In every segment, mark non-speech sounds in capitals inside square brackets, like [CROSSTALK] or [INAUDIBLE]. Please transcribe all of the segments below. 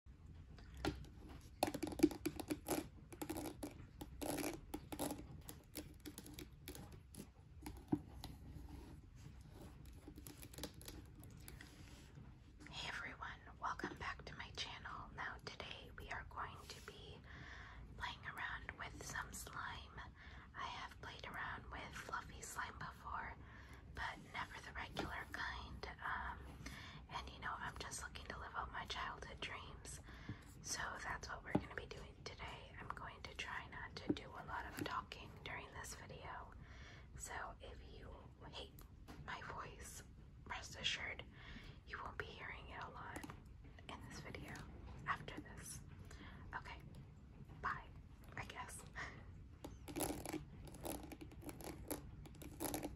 Hey everyone, welcome back to my channel. Now today we are going to be playing around with some slime. I have played around with fluffy slime before, but never the regular kind. Um, and you know, I'm just looking to live out my childhood dreams. So that's what we're going to be doing today. I'm going to try not to do a lot of talking during this video. So if you hate my voice, rest assured you won't be hearing it a lot in this video after this. Okay, bye, I guess. [LAUGHS]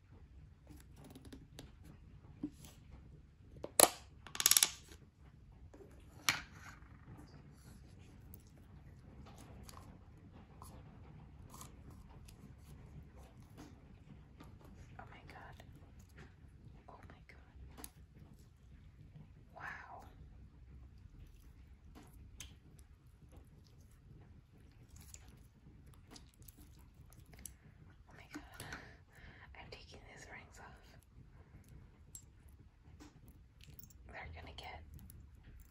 Oh my god. Oh my god. Wow. Oh my god, I'm taking these rings off. They're gonna get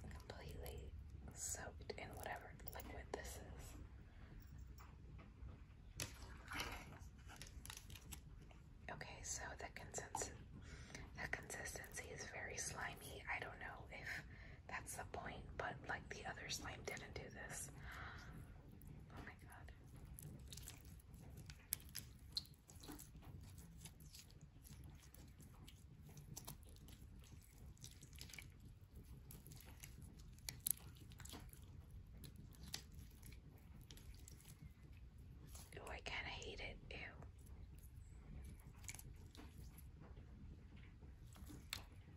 completely soaked in whatever liquid this is. Okay, so the consistency the consistency is very slimy. I don't know if that's the point, but like the other slime didn't do this. Oh my god. Oh, I kind of hate it. Ew. Ew.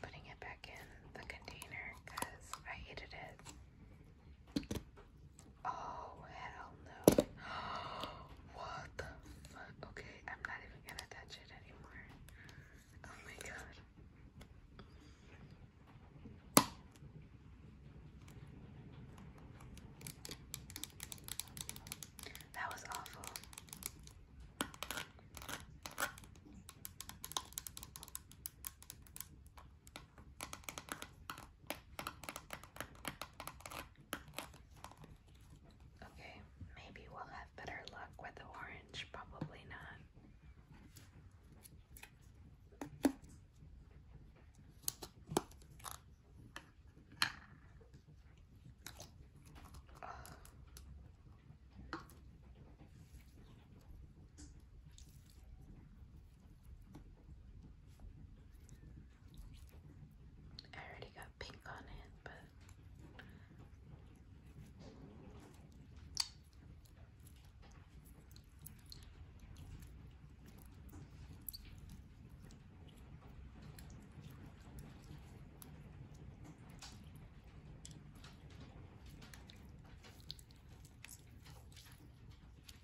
Putting it back in the container because I hated it. Oh, hell no. [GASPS] What the fuck? Okay, I'm not even gonna touch it anymore. Oh my god. That was awful. Okay, maybe we'll have better luck with the orange, probably not. I already got pink on it, but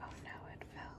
Oh no, it fell.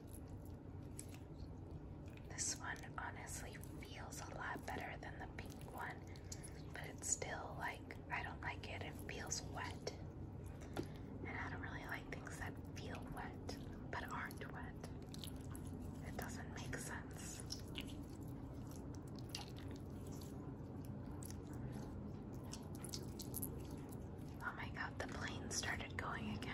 This one honestly feels a lot better than the pink one, but it's still like I don't like it. It feels wet. And I don't really like things that feel wet but aren't wet. It doesn't make sense. Oh my god, the plane started going again.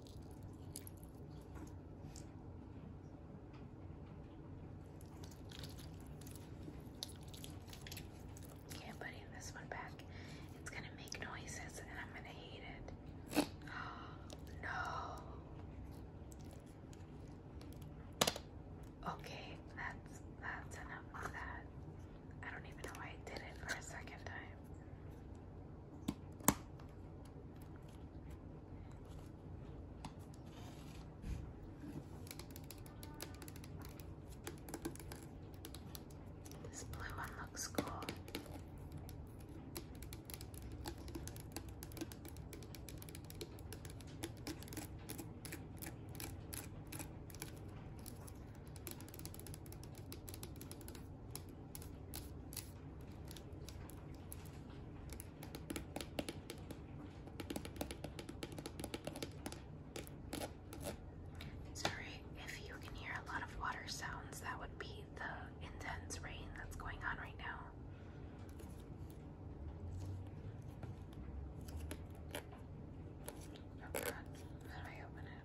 Okay, i this one back. It's gonna make noises and I'm gonna hate it. [GASPS] no. Okay, that's that's enough of that. I don't even know why I did it for a second time. This blue one looks cool. Sorry if you can hear a lot of water sounds, that would be the intense rain that's going on right now. Oh God, how open it?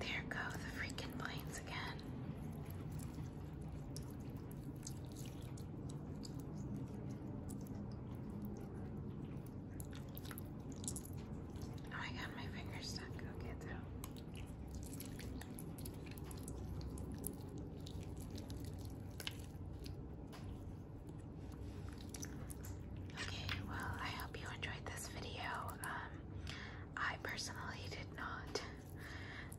There go the freaking planes again. Oh, I got my fingers stuck. Okay, through. Okay, well, I hope you enjoyed this video. Um, I personally did not.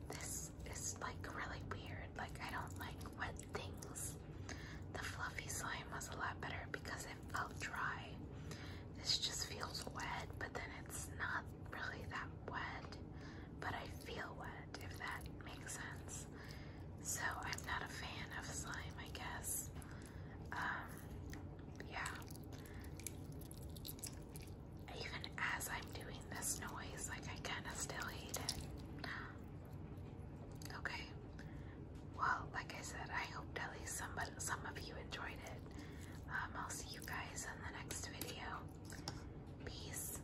This is like really weird. Like, I don't like wet things. The fluffy slime was a lot better because it felt dry. This just feels wet, but then it's not really that wet, but I feel wet, if that makes sense. So I'm not a fan of slime, I guess. Um, yeah. Even as I'm doing this noise, like I kind of still hate it. Okay. Well, like I said, I hope at least some, some of you enjoyed it. Um, I'll see you guys in the next video. Peace.